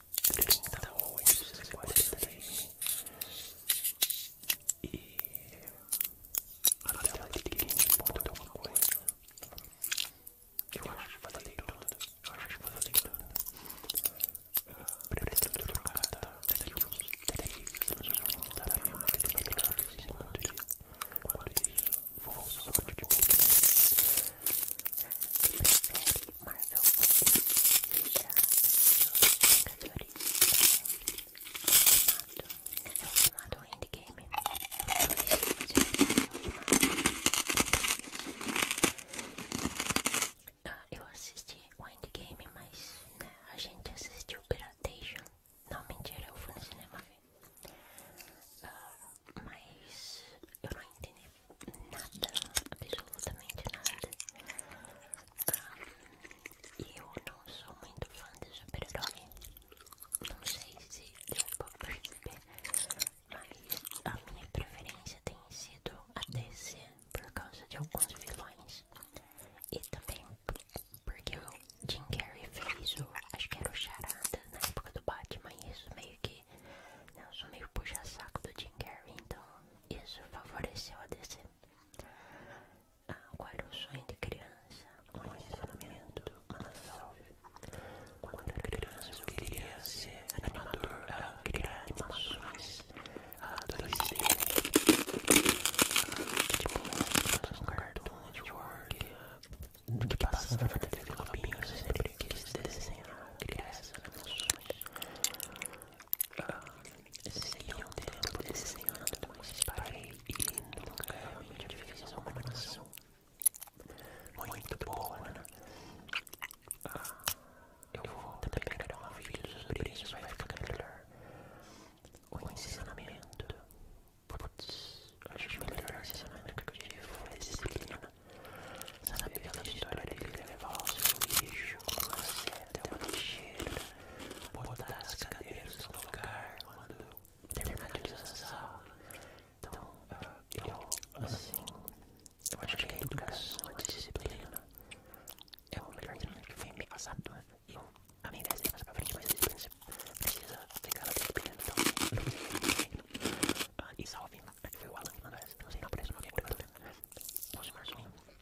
38, 43 e a tela de 15 ponto alguma coisa. Eu acho que falei tudo. Eu acho que falei tudo. Pretendo trocar daqui uns 3 anos da minha televisão. Enquanto isso, enquanto isso, vou só te dizer mas eu vou deixar os jogadores formato endgame ah, eu eu assisti o endgame, mas né, a gente assistiu Piratation não, mentira, eu fui no cinema ah, mas eu não entendi nada, absolutamente nada. e eu não sou muito fã de super-herói. Não sei se eu pra perceber, mas a minha preferência tem sido a DC por causa de alguns vilões. E também porque o Jim Carrey fez o, acho que era o Charada na época do Batman, e isso meio que, eu sou meio puxa-saco do Jim Carrey, então isso favoreceu a DC Agora ah, o sonho de criança Condicionamento Unsolved Quando era criança eu queria ser animador Ela ah, queria animações Ela ah, adolescente Tipo, um cartoon network Que passava na TV Globinho Eu sempre quis desenhar crianças animações Senhor Deus, desenhando, parei e nunca me fez uma nação muito boa, né? Ah, eu vou tentar pegar um vídeo sobre isso, vai ficar melhor. O ensinamento, putz, a gente vai melhorar o ensinamento que eu tive foi disciplina. Essa na pena história dele levar o seu lixo com você até uma lixeira, botar as cadeiras no lugar quando terminar de Então, eu, assim, eu acho que a educação, a disciplina é o melhor que foi me passado. E a minha ideia é passar pra frente, mas a disciplina precisa aplicar a disciplina. Então, ah, e salve, foi o Alan uma vez Não sei, não aparece o nome agora. Posso mais um. Eu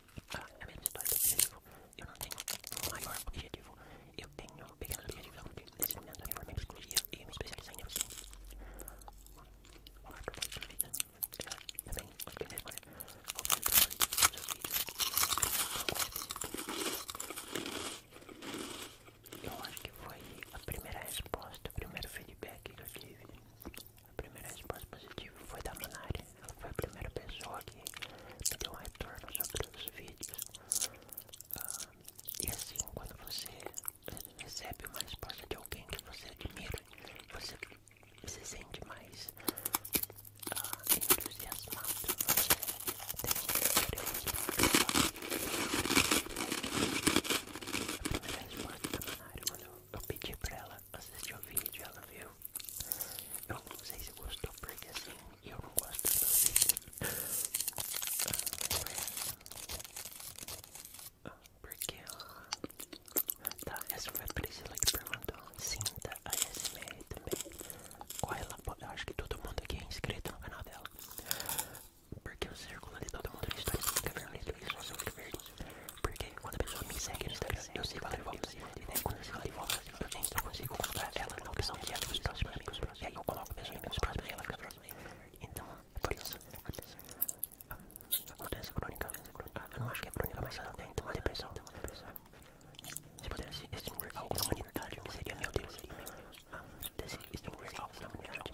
não tenho um maior objetivo. Eu tenho um pequeno objetivo a cumprir. É Nesse momento, me formei em psicologia e me especializei em neurociência. Olá, professor de vida. Também, os que respondem. Vou fazer Eu acho que foi a primeira resposta, o primeiro feedback que eu tive. A primeira resposta positiva foi da Manari. Ela foi a primeira pessoa que me deu um retorno sobre os vídeos. Ah, e assim, quando você recebe uma resposta de alguém que você admira, você se sente mais ah, entusiasmado. Você tem um a primeira resposta da Manari, quando eu, eu pedi pra ela ela assistiu o vídeo, ela viu. Eu não sei se gostou, porque assim, eu não gosto dos vídeos. Porque ela... Tá, essa foi a Priscila que perguntou. Sinta a SMR também. Qual ela Eu acho que todo mundo aqui é inscrito no canal dela. Porque o círculo de todo mundo no stories fica vermelho e só fica verde. Porque quando a pessoa me segue no Instagram, eu sigo ela de volta. E daí quando eu sigo ela de volta, eu tenho que eu consigo colocar ela na opção de amigos próximos. E aí eu coloco a pessoa em amigos próximos e ela fica próxima. Então, por isso. Não tem crônica. Eu não acho que é crônica, mas ela tem uma depressão. Se pudesse extinguir algo na humanidade, seria meu Deus. Ah, desse extinguir algo na humanidade.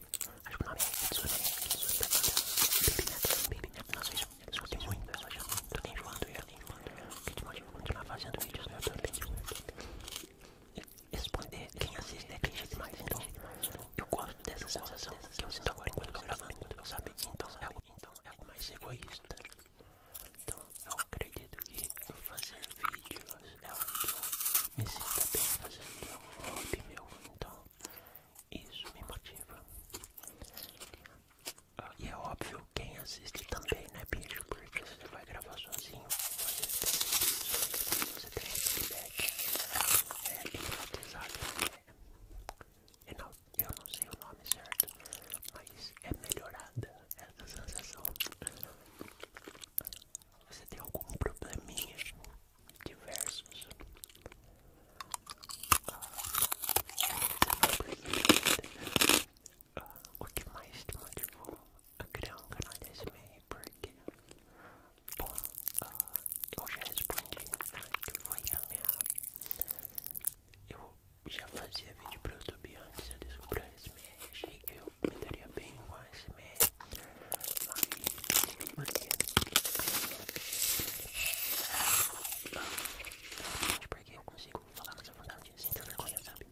Acho que o nome é Kitsune, Kitsune da banda Baby Neto, Nossa, isso eu escutei muito, eu já tô nem enjoando já, nem enjoando já Porque eu continuar fazendo vídeos no YouTube Responder quem assiste é clichê demais, então Eu gosto dessa sensação que eu sinto agora enquanto eu tô gravando, sabe? Então é algo, então, é algo mais egoísta Então eu acredito que fazer vídeos é algo que eu me sinto bem fazendo, é um hobby meu, então isso me motiva. Ah, e é óbvio quem assiste também, né, bicho? Porque se você vai gravar sozinho, você tem isso, feedback, é, é hipnotizado. É, eu não sei o nome certo, mas é melhorada essa sensação. Você tem algum probleminha diversos. o que mais te motivou a criar um canal de SMR? Porque, bom, ah, eu já respondi né, que foi a minha. Eu já fazia vídeo para o YouTube antes, eu descobri a SMR, achei que eu me daria bem com a SMR não sei porque eu consigo falar mais à vontade sem ter vergonha, sabe?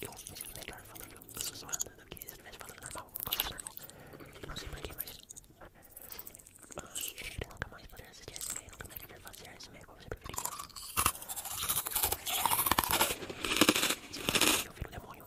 Eu me sinto melhor falando sussurrando do que se eu estivesse falando normal, falando normal. Não sei porquê, mas. Ele nunca mais sei assistir esse meio, nunca mais poderá fazer esse meio como você preferia. Seu filho, seu filho demônio,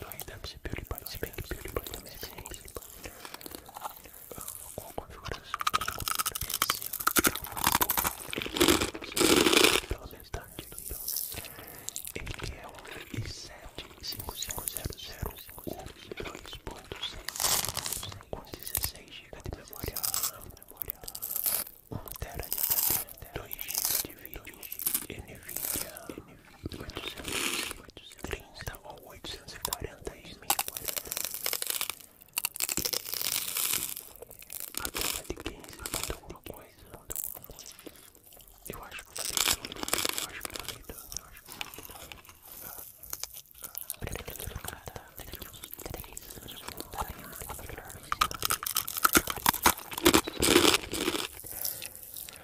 No Redemption PewDiePie, se bem que PewDiePie também é PewDiePie Com configuração Pela metade Ele é o i7-5500 U GB de memória RAM 1 TB de HD 2 GB de vídeo NVIDIA 830 ou 840 e 1040 a ponta de 15 ponta alguma coisa eu acho que falei tudo eu acho que falei tudo eu acho que eu falei tudo pretendo trocar daqui uns 3 anos eu voltarei mais melhor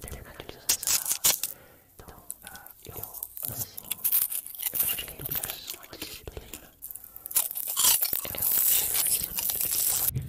terminar de utilização. Então, eu, assim, eu acho que é educação aqui, disciplina. É um financiamento que foi.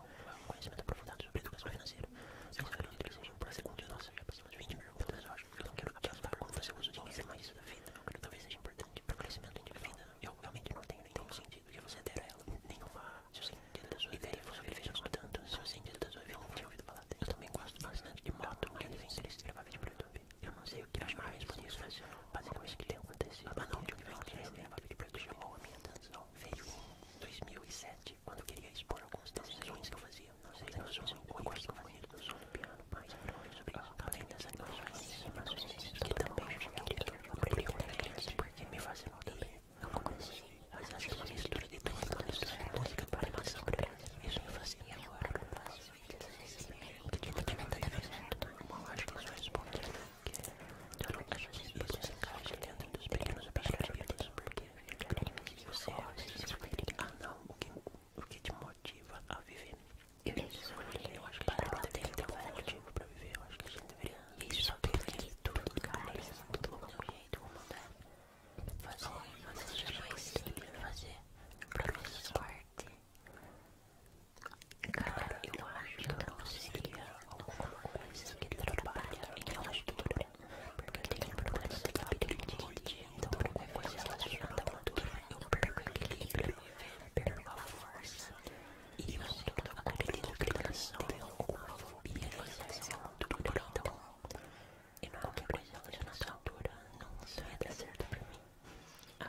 geral, conhecimento aprofundado sobre educação financeira. Eu acredito que seja para segundo eu nossa, já passamos 20 mil perguntas hoje. Eu não quero te ajudar como você usa o dinheiro, mas da vida, talvez seja importante para o crescimento individual. Vida, eu realmente não tenho nenhum sentido que você der a ela, nenhuma. Se o sentido da sua vida fosse ele fez escutando, se o sentido das sua vida não tinha ouvido falar Eu também gosto bastante de moto, mas ele vem interesse de gravar vídeo pro Eu não sei o que acho mais bonito fazer, mas basicamente o que lhe acontecido. Mas é não, de um nível que ele o vídeo pro YouTube chamou a minha atenção veio em 2007, quando eu queria expor algumas alguns desenhos que eu fazia. Não sei se eu sou um gosto bonito, eu sou um piano, mas eu não sobre isso. Além tá das animações, que também eu aprendi quando era criança, porque me fazem rir. Eu não conheci, mas acho que é uma mistura de tudo, uma música para animação. Isso me fazia agora, eu faço vídeos, eu recebo, eu tenho uma arte que só responde dentro dos pequenos objetivos, porque você Ah não, o que, o que te motiva a viver? Eu escolhi, eu acho que a gente deveria que ter um motivo pra viver, eu acho que a gente deveria Isso, perder tudo, cara, tudo tudo né? jeito, uma mudar Fazer, fazer jamais fazer pra nossa parte é Cara, eu acho que não seria alguma coisa que trabalha em relatura, porque tem problemas de labirintite, então alguma coisa relacionada à gordura, eu perco o equilíbrio, perco a força, e eu estou na contemplação de alguma fobia não à gordura, então, e qualquer coisa relacionada à gordura não vai dar certo pra mim.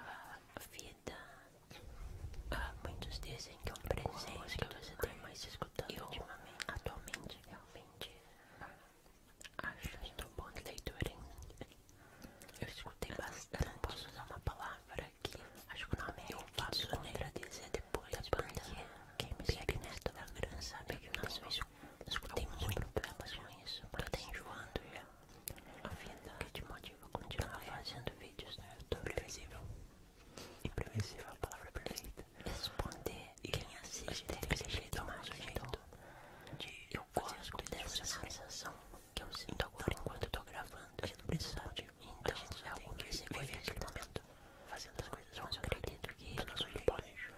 A vida, ah, muitos dizem que é um presente que você tem mais eu, ultimamente? Atualmente, realmente, acho que estou bom de leitura, hein? Eu escutei bastante. posso usar uma palavra aqui acho que o nome é eu faço contradizer depois, da porque quem me segue na Instagram sabe que nós escutei muito problemas com isso, mas tô enjoando já. A vida que te motiva a continuar tá fazendo vídeos no né? YouTube, previsível. Imprevisível a palavra perfeita. Responder e quem assiste deve ser jeito é mais jeito de eu gosto dessa sensação que eu sinto então, agora enquanto eu tô gravando. Eu não preciso de então, é algo que se vive aquele momento fazendo as coisas. Eu acredito que eu não sou de baixo.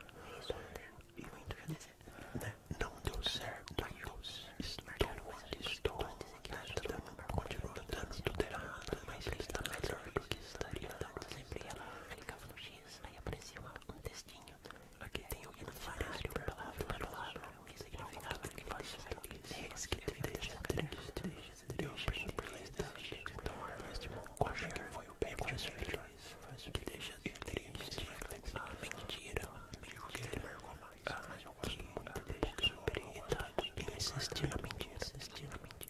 E muito já dizer, né? Não deu certo, não deu certo. Estou onde estou, né? Continua dando tudo errado, mas está melhor. X, tá ligado? Eu sempre ia clicava no né? X, aí aparecia um textinho. Aqui tem o dicionário, palavra por palavra, o que significava aquele texto. Esse que tem texto, três, três, eu aprendi por ler texto. Então, eu acho que foi o bem mais feliz, mas o que deixa triste, a mentira, o que ah, ele marcou mais. Ah, mas eu gosto muito, eu fico super irritado em assistir a mentira, assistir a mentira.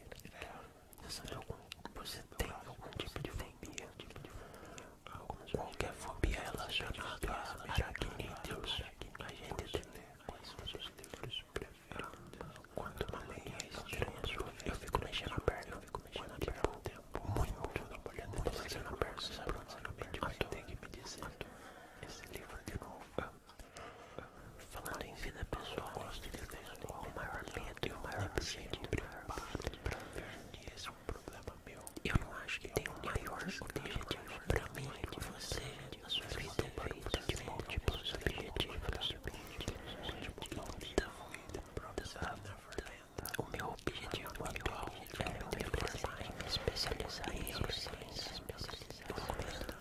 Você, tem algum, você tem algum tipo de fobia? Qualquer fobia ela chamada aracnídeos. A gente tem quais são os livros preferidos? Quando uma meia estranha eu fico mexendo a perna, eu fico mexendo a perna um tempo. Muito, muito mexendo a perna, sabe? Você vai ter que me dizer esse livro de novo. Falando em vida pessoal, o maior medo, o maior medo é um problema meu. Eu não acho que tem um maior objetivo pra mim que você, a sua vida é feita de múltiplos objetivos. Então, o meu objetivo atual é me especializar em ciências, especializar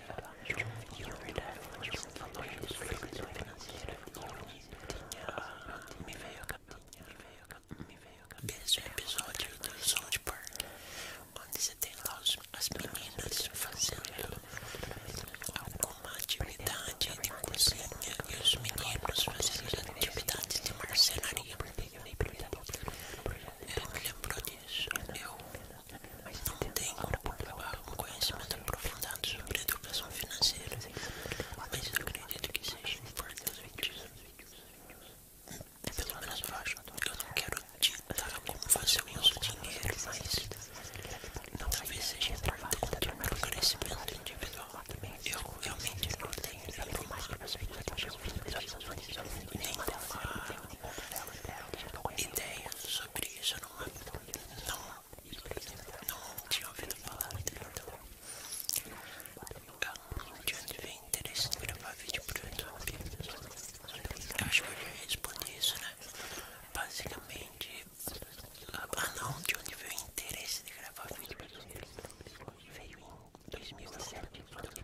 Me veio a capinha, me veio a capinha, me veio a capinha Desse episódio do South Park Onde você tem lá os, as meninas fazendo alguma atividade de cozinha E os meninos fazendo atividades de marcenaria Eu me lembro disso, eu mas não tenho como provar um conhecimento aprofundado sobre educação financeira, mas eu acredito que seja importante. Pelo menos eu acho. Eu não quero te dar como fazer o meu dinheiro, mas não talvez seja importante contra o meu crescimento individual. Eu realmente não tenho. Eu não tenho mais que você, eu não eu não tenho mais para tenho ideias sobre isso, não, não, não tinha ouvido falar, de onde vem interesse de gravar vídeo pro YouTube? Eu acho que eu já respondi isso, né? Basicamente, ah não, de onde veio o interesse de gravar vídeo Veio em 2007, quando eu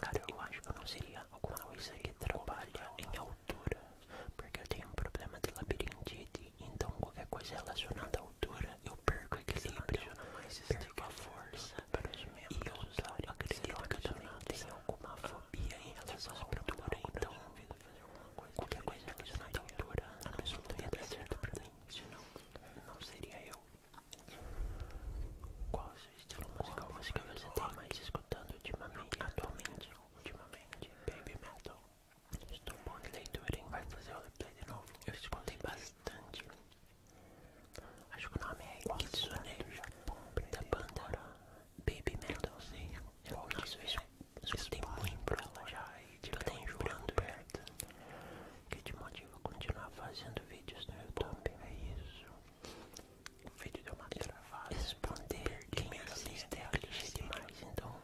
Cara, eu acho que não seria alguma coisa que trabalha em altura, porque eu tenho um problema de labirintite, então qualquer coisa relacionada à altura eu perco equilíbrio, perco a força, para e eu tô, acredito que eu também tenho alguma ah, fobia em relação à altura, então qualquer coisa relacionada à altura não ia dar certo pra mim, senão não seria eu. Qual o seu estilo musical você tem mais escutando ultimamente? Atualmente, ultimamente, Baby Metal. Estou bom de leitura, hein? Vai fazer o replay de novo. Eu escutei bastante. Acho que o nome é Kitsune da banda Baby Metal. Sim, eu isso. eu escutei é muito pra ela já e eu tenho jurando perto que te motiva a continuar fazendo vídeos no YouTube. É isso. O vídeo deu uma travada. Responder quem me assiste é clichê demais, então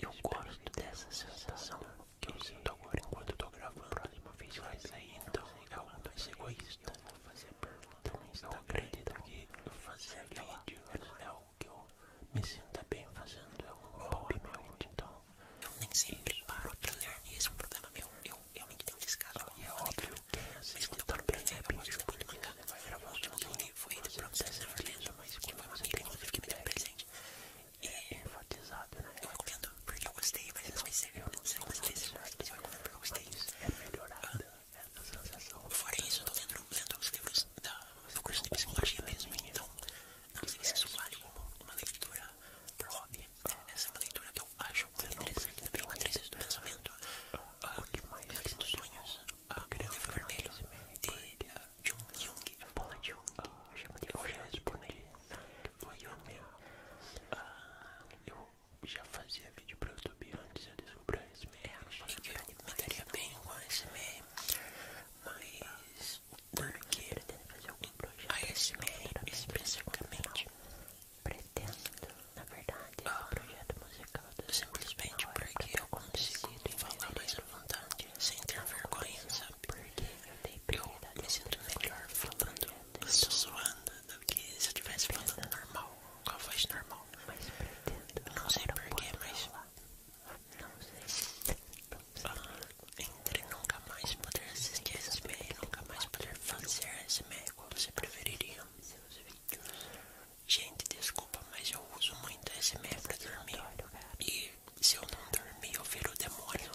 eu gosto dessa sensação que eu sinto agora enquanto estou gravando. O próximo vídeo vai sair, então, então é algo mais egoísta. Eu vou fazer pergunta então, no Instagram, então. que fazer vídeo é algo que eu me sinta bem fazendo, é um hobby meu, então eu nem sempre paro pra ler é um problema meu, eu realmente tenho um descaso. E é óbvio. É mas quando eu paro pra ler, eu gosto muito de mangá. O último que eu li foi The Princess Neverland, que foi uma amiga, inclusive, que me deu um é presente. E é enfatizado, né? Eu recomendo porque eu gostei, mas não sei se eu não sei gostei, mas eu recomendo porque eu gostei. isso É melhorada ah. né, essa sensação. Fora isso, eu tô lendo, lendo os livros da, do curso de psicologia mesmo, então não sei se isso vale como uma leitura pro hobby essa é uma leitura que eu acho muito interessante também, uma trilha do tá? pensamento, ah, o que mais é ah, dos sonhos, o ah, livro vermelho de Jung, Jung, Paula eu chamo de Roger Respondi, o Jung, eu já fazia vídeo pro YouTube antes de eu descobrir a SME, eu me daria então. bem com a SME, mas porque ele tem que fazer a SMA especificamente pretendo, na verdade, esse ah, projeto musical simplesmente porque eu consigo falar mais à vontade, sem ter tá vergonha, sabe? Porque eu, eu me sinto melhor falando, estou suando, do que se eu estivesse falando normal, com a normal. Mas pretendo, não sei porquê, mas. Não sei. Não sei. Ah entre nunca mais poder assistir ASMR e nunca mais poder fazer ASMR, qual você preferiria? Gente, desculpa, mas eu uso muito ASMR pra dormir e se eu não dormir eu viro o demônio.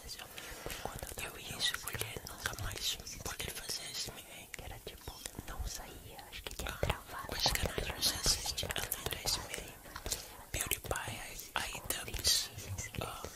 Eu ia escolher nunca mais poder fazer ASMR. Era tipo, não saía, acho que tinha ah, travado. Quais canais você assiste além do ASMR? PewDiePie, Ah.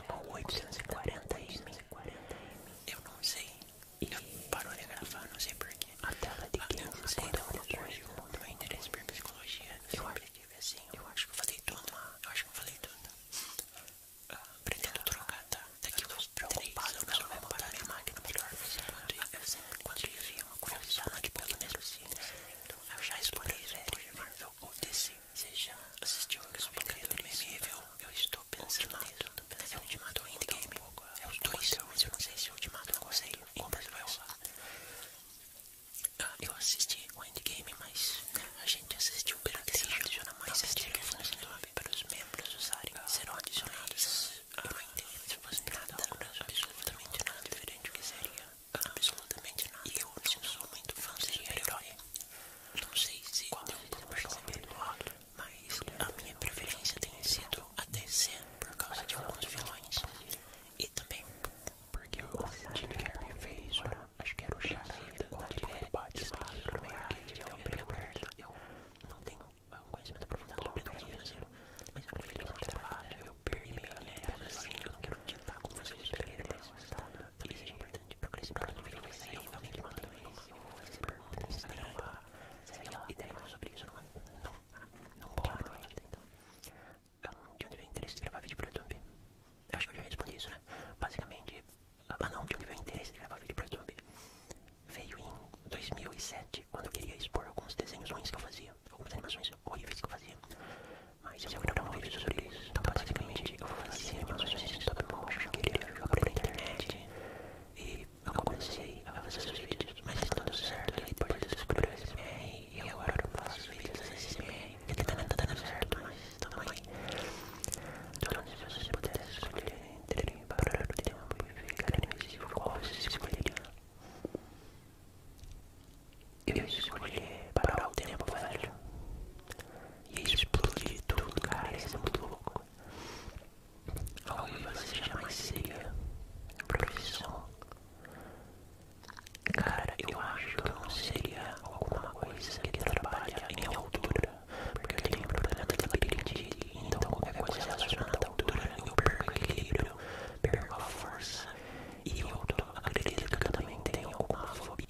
Chamou 840 m Eu não sei. E parou de gravar, não sei porquê. A tela de 15 ah, segundos depois do meu interesse por psicologia. Eu sempre acho, assim. Eu acho que eu falei tudo. Eu acho que eu falei tudo. Ah, pretendo tá. trocar, tá? Daqui uns 3 anos eu vou botar minha máquina melhor. Ah, eu sempre, quando eu vi uma curiosidade pelo mesmo cine, eu já escolhi isso, por exemplo, ou DC. Você já assistiu a Explicaria do meme? Eu estou pensando nisso. É o Ultimato e Endgame. É os dois, eu não sei se o Ultimato eu gostei. Compras vai rolar. Ah, eu assisti o Endgame, mas a gente assistiu que Playstation. Adiciona mais tá estilos para os membros usarem. Ah, serão adicionados. Eu não ah, entendo. Se fosse então nada, tá. absolutamente nada diferente do que seria. Ah, absolutamente nada. E eu não sou muito fã de super-herói. Não sei se Qual deu pra perceber, mas a minha preferência tem sido a DC por causa de alguns vilões. E também porque eu senti que a minha acho que era o Charada, tá de ele bate no meio que ele Eu não tenho conhecimento aprofundado sobre isso, mas eu prefiro mostrar, eu perdi minha lembrança, assim, eu não quero tentar assim, com vocês, eu mas isso é importante porque eles perguntam que vai sair, vão me mandando isso, eles perguntam se vai lá, sei lá, e daí eu sobre isso não, não, não guardo ainda, de onde veio o interesse de gravar vídeo pro YouTube? acho que eu já respondi isso, né? Basicamente, ah não, de onde veio o interesse de gravar vídeo pro YouTube? Veio em 2007, quando eu queria expor alguns desenhos ruins que eu fazia, algumas animações horríveis que eu fazia. Mas eu não gravar um vídeo sobre isso. Então, basicamente, eu vou fazer fazia assim, meus vídeos de todo mundo que queria jogar pela internet. E eu comecei a fazer os vídeos, mas está tudo certo. E depois eu descobri o SMR e eu agora eu faço vídeos da SMR. Que também tá dando certo, mas está bem também. Então, se vocês pudessem escolher entre parar o tempo e ficar invisível, qual vocês escolheriam? Eu escolhi parar o tempo, velho e explodir tudo, cara, isso é muito louco. Algo que você jamais seria profissão. Cara, eu acho que não seria alguma coisa que trabalha em altura, porque eu tenho um problema de labirintite, então qualquer coisa relacionada à altura eu perco equilíbrio, perco a força, e eu acredito que eu também tenho alguma fobia.